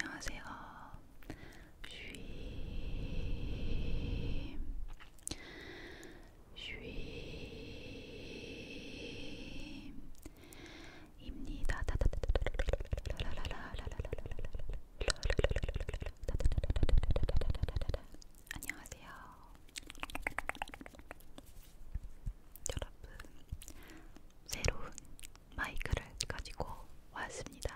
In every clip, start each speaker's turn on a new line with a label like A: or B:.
A: 안녕하세요. 슈임 슈임입니다. 안녕하세요. 여러분, 새로운 마이크를 가지고 왔습니다.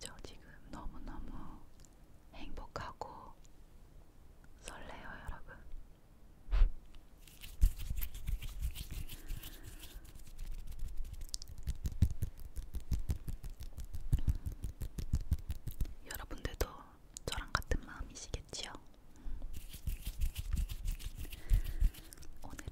A: 저 지금 너무너무 행복하고 설레요, 여러분. 여러분들도 저랑 같은 마음이시겠지요? 오늘은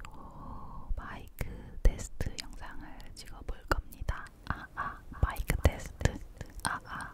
A: 요 마이크 테스트 영상을 찍어볼 겁니다. 아아 아, 아, 마이크 테스트 아아 아.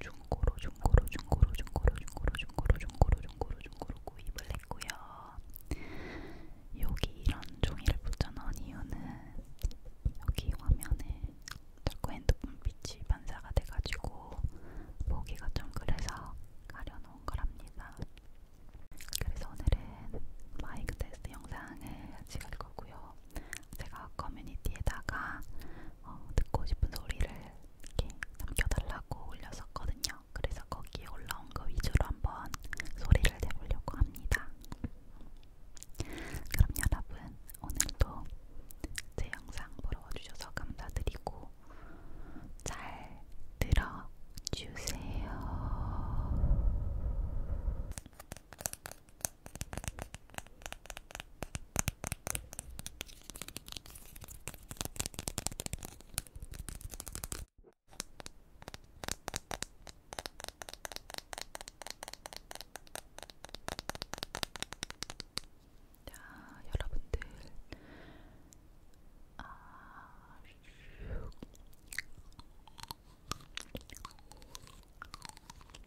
A: 중고로 중고로 중고로 중고로 중고로 중고로 중고로 중고로 중고로 구입을 했고요. 여기 이런 종이를 붙여놓은 이유는 여기 화면에 자꾸 핸드폰 빛이 반사가 돼가지고 보기가 좀 그래서 가려놓은 거랍니다. 그래서 오늘은 마이크 테스트 영상을 찍을 거고요. 제가 커뮤니티에다가 어, 듣고 싶은 소리를 이렇게 남겨달라고 올렸었거든요. 그래서 거기에 올라온 거 위주로 한번 소리를 내보려고 합니다. 그럼 여러분 오늘도 제 영상 보러 와주셔서 감사드리고 잘 들어주세요. 자, 여러분들, 아,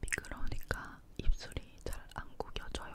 A: 미끄러우니까 입술이 잘 안 구겨져요.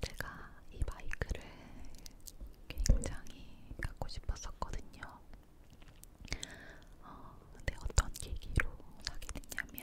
A: 제가 이 마이크를 굉장히 갖고 싶었었거든요. 어, 근데 어떤 계기로 사게 됐냐면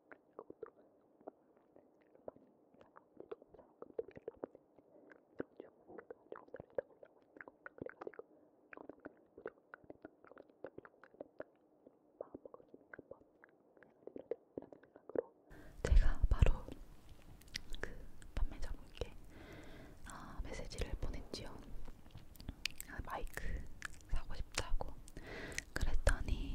A: 제가 바로 그 판매자분께 아, 메시지를 보냈지요. 아, 마이크 사고 싶다고 그랬더니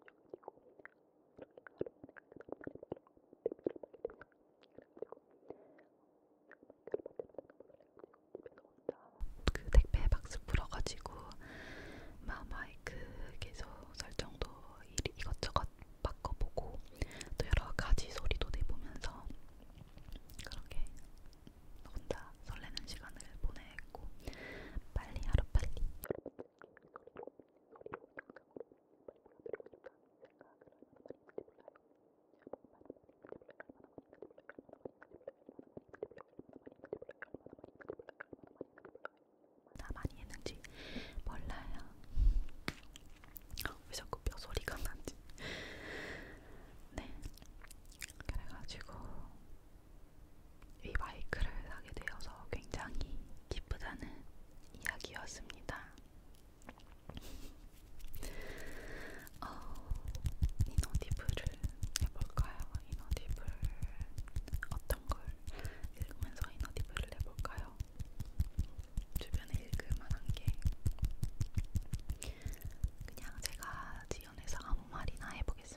A: 그 택배 박스 풀어가지고 마마이크 계속 설정도 이것저것 바꿔보고 또 여러 가지 소리도 내보면서 그렇게 혼자 혼자 설레는 시간을 보냈고 빨리 하루빨리 나 많이 했는지 몰라요. 왜 자꾸 뼈 소리가 나지? 네, 그래가지고 이 마이크를 사게 되어서 굉장히 기쁘다는 이야기였습니다. 어, 이너디브를 해볼까요? 이너디블 어떤 걸 읽으면서 이너디브를 해볼까요? 주변에 읽을 만한 게 그냥 제가 지연해서 아무 말이나 해보겠습니다.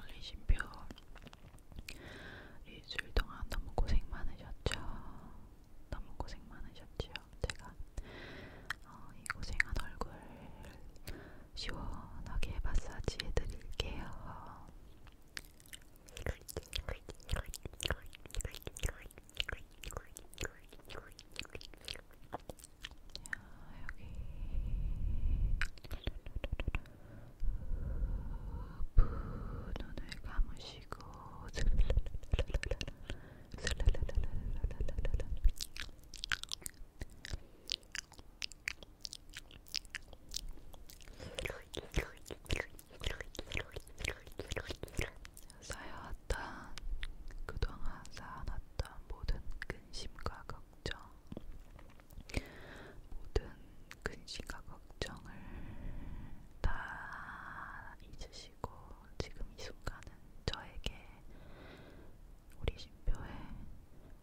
A: 올리신표 일주일 동안 너무 고생 많으셨죠? 너무 고생 많으셨지요? 제가 어, 이 고생한 얼굴 시원하게 마사지 해드릴게요. 여기 눈을 감으시고 쌓여왔던 그동안 쌓아놨던 모든 근심과 걱 걱정, 모든 근심과 걱정을 다 잊으시고 지금 이 순간은 저에게 우리 신표의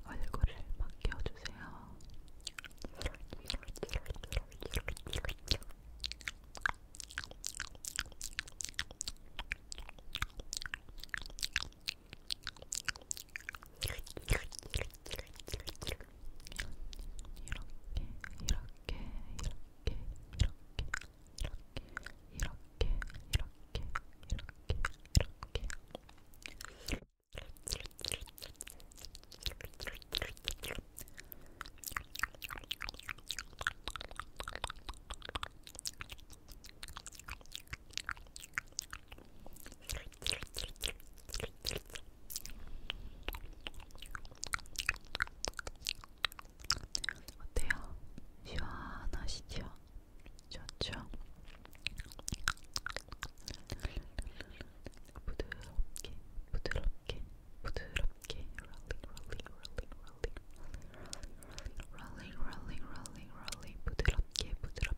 A: 얼굴을 맡겨주세요. 이렇게 이렇게 이렇게 이렇게 이렇게 이렇게 이렇게 이렇게 어때요? 시원하시죠? 좋죠? 부드럽게, 부드럽게, 부드럽게, 롤링, 롤링, 롤링, 롤링, 롤링, 롤링, 롤링, 롤링, 롤링, 부드럽게, 부드럽게,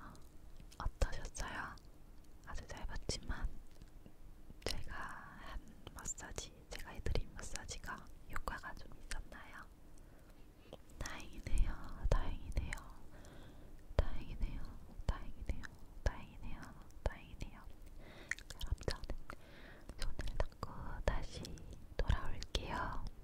A: 어, 어떠셨어요? 아주 잘 봤지만 제가 한 마사지, 제가 해드린 마사지가 효과가 좀 있었나요? 다행이네요, 다행이네요, 다행이네요, 다행이네요, 다행이네요, 다행이네요. 그럼 저는 손을 닦고 다시 돌아올게요.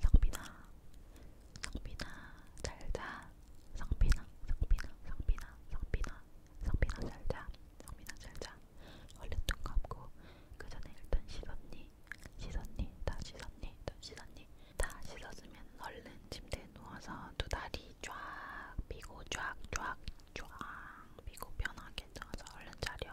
A: 성빈아, 성빈아, 잘자. 성빈아, 성빈아, 성빈아, 성빈아, 성빈아, 잘자. 성빈아, 잘자. 얼른 눈 감고 그 전에 일단 씻었니? 씻었니? 다 씻었니? 다 씻었니? 다 씻었으면 얼른 침대에 누워서 두 다리 쫙 펴고 쫙 쫙쫙 쫙 펴고 편하게 누워서 얼른 자렴.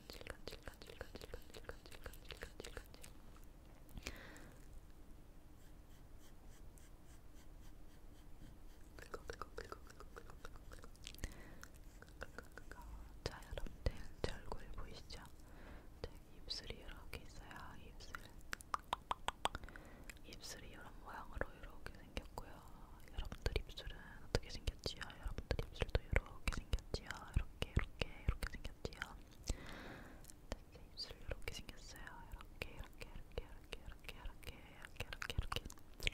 A: 간질간질간질간질간질간질간질간질간질 자 여러분들 제 얼굴 보이시죠? 제 입술이 이렇게 있어요. 입술 입술이 이런 모양으로 이렇게 생겼고요. 여러분들 입술은 어떻게 생겼지요? 여러분들 입술도 이렇게 생겼지요? 이렇게 이렇게 이렇게 생겼지요. 되게 입술 이렇게 생겼어요. 이렇게 이렇게 이렇게 이렇게 이렇게 이렇게 이렇게 이렇게 이렇게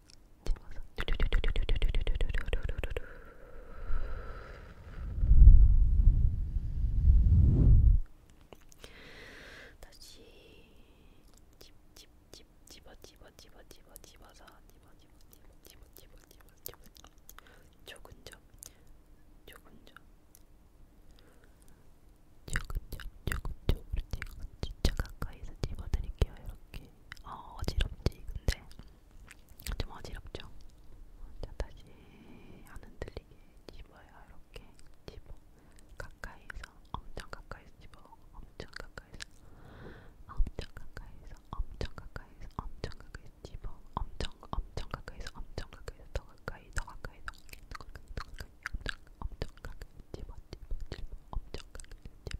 A: 집어서 다시 집 집 집 집어 집어 집어 집어 집어서 집어 집어 집어 집어 집어 집어 집어 조금 좀 조금 좀 조금 좀 조금 좀 그렇지 진짜 가까이서 집어드릴게요 이렇게 어 어지럽지 근데 좀 어지럽죠? 자, 다시 안 흔들리게 집어요. 이렇게 집어. 가까이서, 엄청 가까이서 집어. 엄청 가까이서, 엄청 가까이서, 엄청 가까이서, 엄청 가까이서 집어. 엄청, 엄청 가까이서, 엄청 가까이서, 더 가까이, 더 가까이, 더 가까이, 더 가까이, 더 가까이, 엄청, 엄청 가까이 집어, 집어, 집어, 엄청 가까이 집어.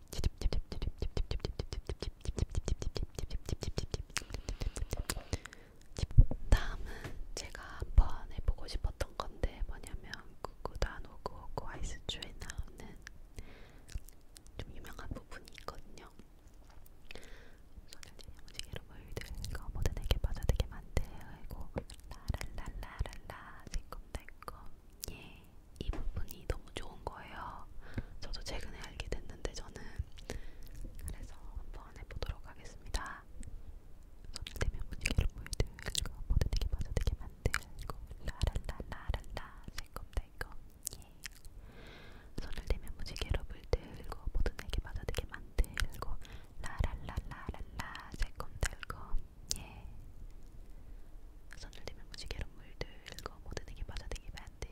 A: 다음은 제가 한번 해보고 싶었던 건데 뭐냐면 구구단 오구오구 아이스주에 나오는 좀 유명한 부분이 있거든요. 소년이 무지개로 물들고 모든에게 빠져들게 만들고 라랄라랄라 새콤달콤 예이 부분이 너무 좋은 거예요. 저도 최근에 알게 됐는데 저는 그래서 한번 해보도록 하겠습니다. 손을 대면 분위기를 보여드리고 모든에게 빠져들게 만들고 라랄라라랄라 새콤달콤 예 손을 대면 무지개로 물들고 모든에게 빠져들게 만들고 라랄라라랄라 새콤달콤 예 손을 대면 무지개로 물들고 모든에게 빠져들게 만들고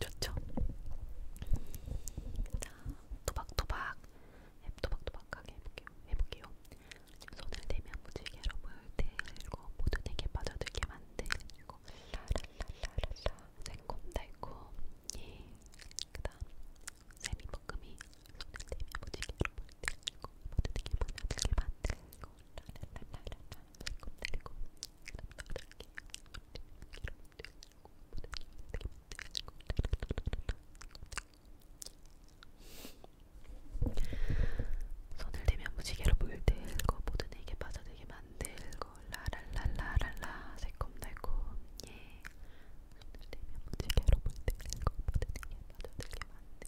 A: 좋죠? 자, 도박도박 도박도박하게 해볼게요. 해볼게요. 손을 대면 무지개로 물들고 모든에게 빠져들게 만들고 라라라라라 새콤달콤 예. 그다음 세미볶음이 손을 대면 무지개로 물들고 모두에게 만나게 만들고 라라라라라 꿈들고 그럼 너를 기억으로 물들고 모두에게 만나게 만들고 라라라라라 손을 대면 무지개로 물들고 모두에게 빠져들게 만들고 라라라라라라 새콤달콤 예 손을 대면 무지개로 물들고 모두에게 빠져들게 만들고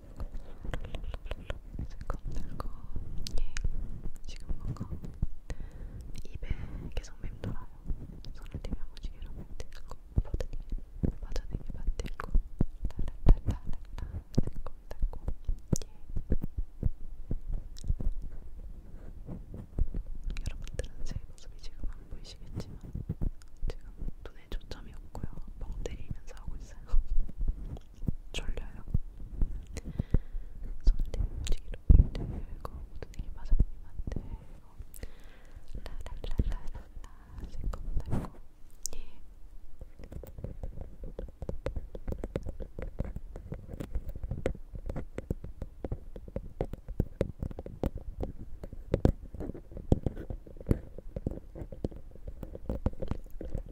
A: 실컷 들고 예 지금 뭔가 입에 계속 맴돌아요. 손을 대면 무지개로 만들고 버드니 버드니 만들고 따라따라따라 들고 따고 예 여러분들은 제 모습이 지금 안 보이시겠지만 지금 눈에 초점이 없고요. 멍 때리면서 하고 있어요. 졸려요. 손대 움직이로 볼때 이거 모든 얘기 맞아님한테 어, 라라라라라라 새콤달콤 예.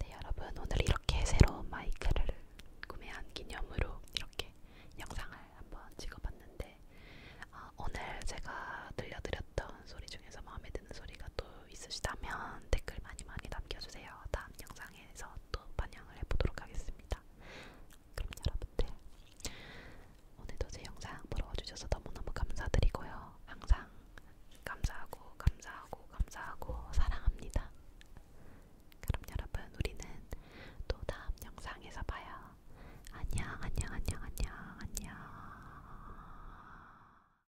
A: 네, 여러분 오늘 이렇게 새로운 마이크를 구매한 기념으로 이렇게 영상을 한번 찍어봤는데 어, 오늘 제가 들려드렸던 나온 소리 중에서 마음에 드는 소리가 또 있으시다면 댓글 많이 많이 남겨주세요. 다음 영상에서 또 반영을 해보도록 하겠습니다. 그럼 여러분들 오늘도 제 영상 보러 와주셔서 너무너무 감사드리고요. 항상 감사하고 감사하고 감사하고 사랑합니다. 그럼 여러분 우리는 또 다음 영상에서 봐요. 안녕 안녕 안녕 안녕 안녕